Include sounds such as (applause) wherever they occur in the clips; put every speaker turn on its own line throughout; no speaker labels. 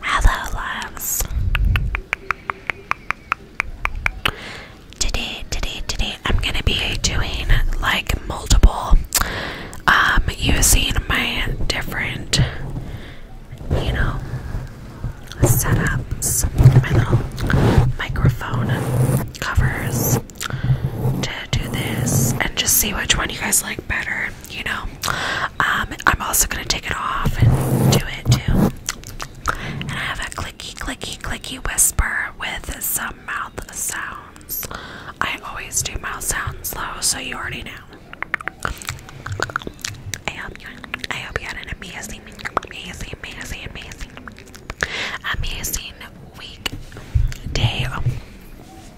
Hello, loves. Today, today, today, I'm gonna be doing like multiple, um, using my different, you know, setups, my little microphone covers to do this and just see which one you guys like better, you know. Um, I'm also gonna take it off and do it too. And I have a clicky, clicky, clicky whisper with some mouth sounds. I always do mouth sounds though, so you already know. I hope you, I hope you had an amazing, amazing, amazing, amazing, amazing week, day,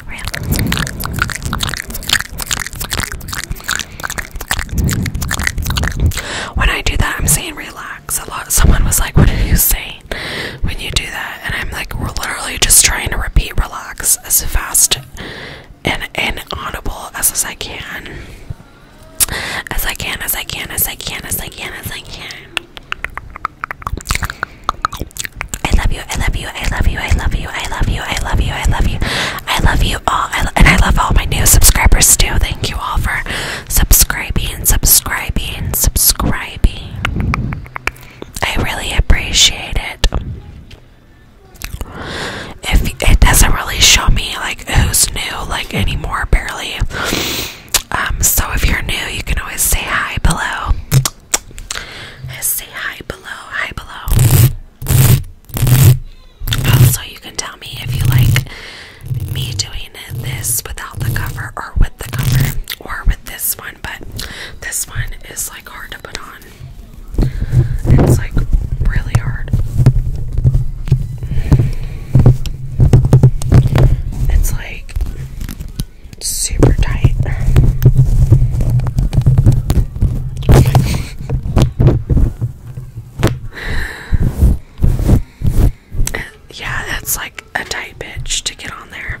When I do that, I'm saying relax a lot. Someone was like, What are you saying when you do that? And I'm like, We're literally just trying to repeat relax as fast and inaudible as, as I can. As I can, as I can, as I can, as I can, as I can. I love you, I love you, I love you, I love you, I love you, I love you, I love you, I love you all, I and I love all my new subscribers too. Thank you all for subscribing, subscribing, subscribing. I really appreciate it. If it doesn't really show me like who's new, like anymore, barely. Um, so if you're new, you can always say hi below. Say hi below, hi below. Also, you can tell me if you like me doing this without the cover or with the cover or with this one, but this one is like hard to put on. It's like really hard. It's like it's super tight. yeah, it's like a tight bitch to get on there.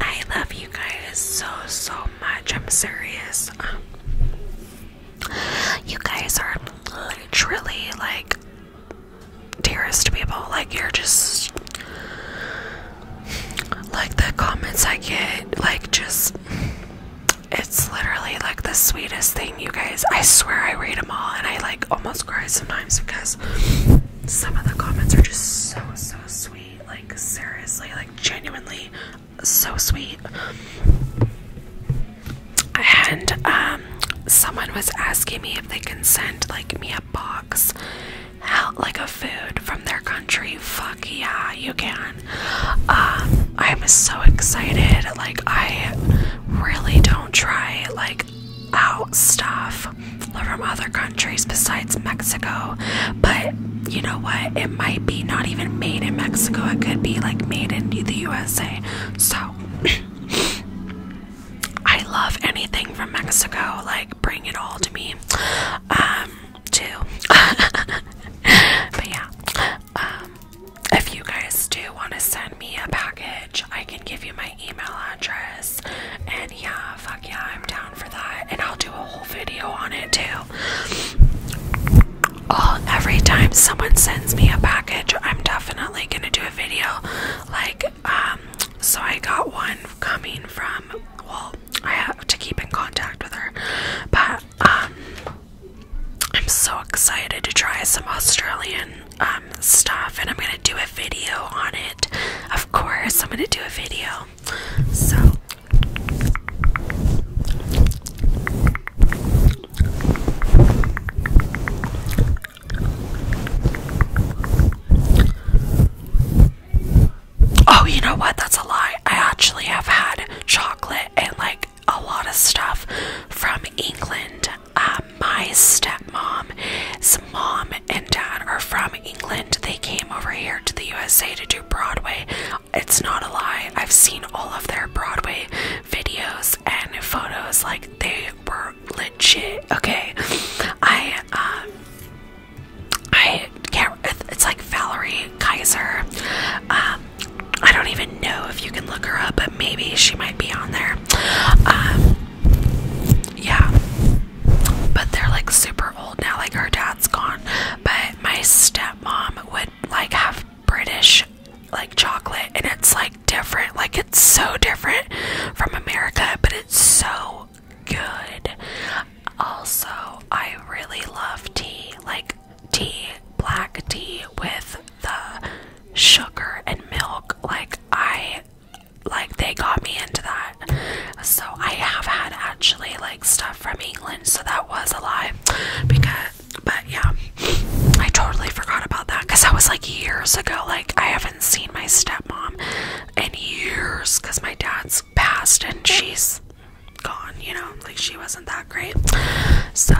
I love you guys so so much. I'm serious. Um, you guys are literally like dearest people. Like you're just like the comments I get, like just it's literally like the sweetest thing, you guys. I swear I read them all and I like almost cry sometimes because some of the comments are just so so sweet, like seriously, like genuinely so sweet. And um someone was asking me if they can send like me a box out like a food from their country, fuck yeah, you can. Um, I'm so excited. Like I really don't try like out stuff from other countries besides Mexico, but you know what? It might be not even made in Mexico. It could be like made in the USA. So (clears throat) I love anything from Mexico. Like bring it all to me um too (laughs) but yeah um if you guys do want to send me a package I can give you my email address and yeah fuck yeah I'm down for that and I'll do a whole video on it too all every time someone sends me a package I'm definitely gonna do a video like um so I got one coming from well I have to keep in contact with her. But um I'm so excited to try some Australian um stuff and I'm gonna do a video on it. Of course, I'm gonna do a video. So Oh, you know what? That's a lie. I actually have had chocolate and like a lot of stuff from England. Um, my stepmom's mom and dad are from England. They came over here to the USA to do Broadway. It's not a lie. I've seen all of their Broadway videos and photos. Like they were legit. Okay, I um, I can't. It's like Valerie Kaiser. Um, I don't even know if you can look her up, but maybe she might be on there. Um, yeah, but they're like super old now. Like her dad's gone, but my stepmom would like have British like chocolate, and it's like different. Like it's so different from America, but it's so good. Also, I really love tea, like tea, black tea with the sugar and milk. Like I like they got me into that. So I have had actually like stuff from England, so that was a lie. Because but yeah. I totally forgot about that because that was like years ago. Like I have not seen my stepmom in years because my dad's passed and she's gone, you know, like she wasn't that great. So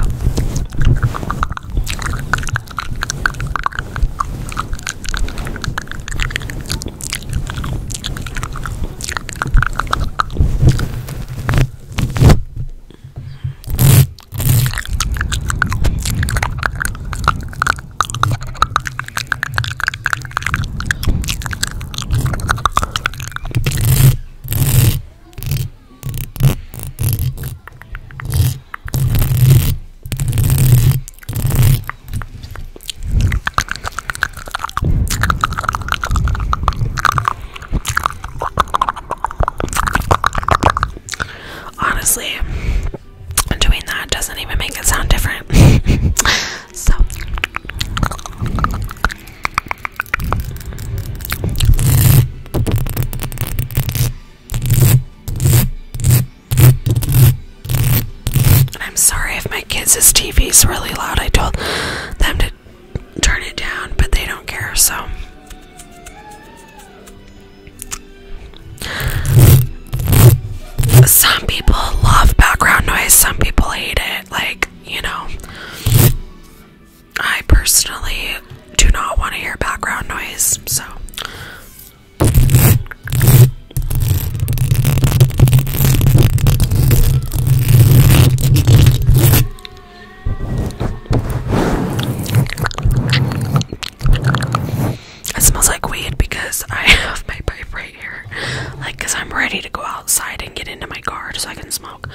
Honestly, doing that doesn't even make it sound different. (laughs) so I'm sorry if my kids' TV is really loud. I told them to turn it down, but they don't care, so some people love background noise, some people hate it. Like, you know, I personally do not want to hear background noise, so. It smells like weed because I (laughs) have my pipe right here. Like, because I'm ready to go outside and get into my car so I can smoke.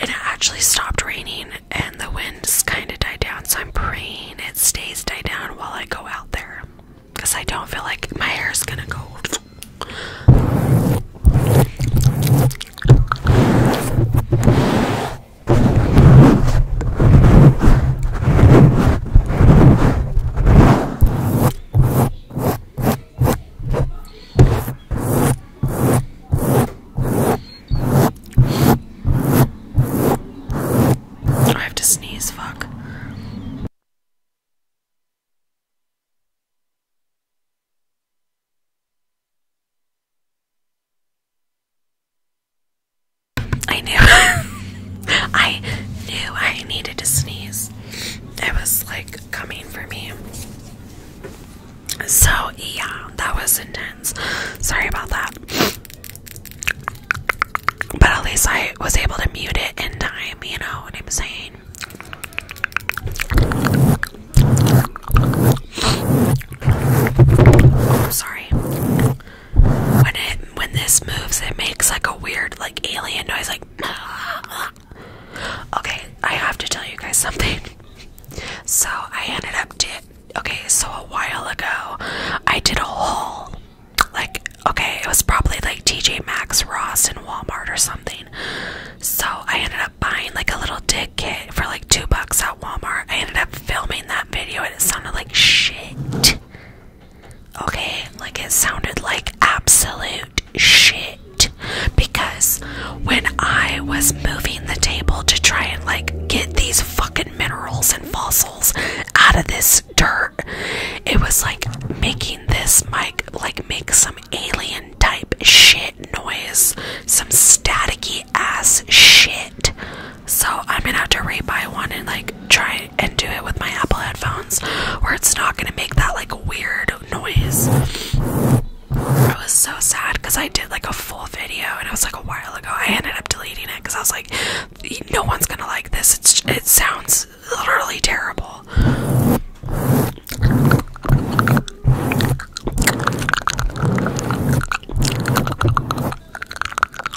it actually stopped raining and the wind's kind of died down, so I'm praying it stays died down while I go out there. Because I don't feel like my hair is gonna go. I have to sneeze, fuck. I knew. (laughs) I knew I needed to sneeze. It was like coming for me. So, yeah, that was intense. Sorry about that. But at least I was able to mute it in time, you know what I'm saying? sorry when it when this moves it makes like a weird like alien noise like (laughs) okay i have to tell you guys something (laughs) so i ended up did okay so a while ago i did a haul like okay it was probably like tj maxx ross and walmart or something so i ended up buying like a little dick kit for like two bucks at walmart i ended up filming that video and it sounded like shit Okay, like it sounded like absolute shit because when I was moving the table to try and like get these fucking minerals and fossils out of this dirt, it was like making this mic like make some alien type shit noise, some staticky ass shit. So I'm gonna have to re-buy one and like try and do it with my Apple headphones where it's not gonna make that like weird noise. I was so sad because I did like a full video and it was like a while ago. I ended up deleting it because I was like, no one's gonna like this. it sounds literally terrible.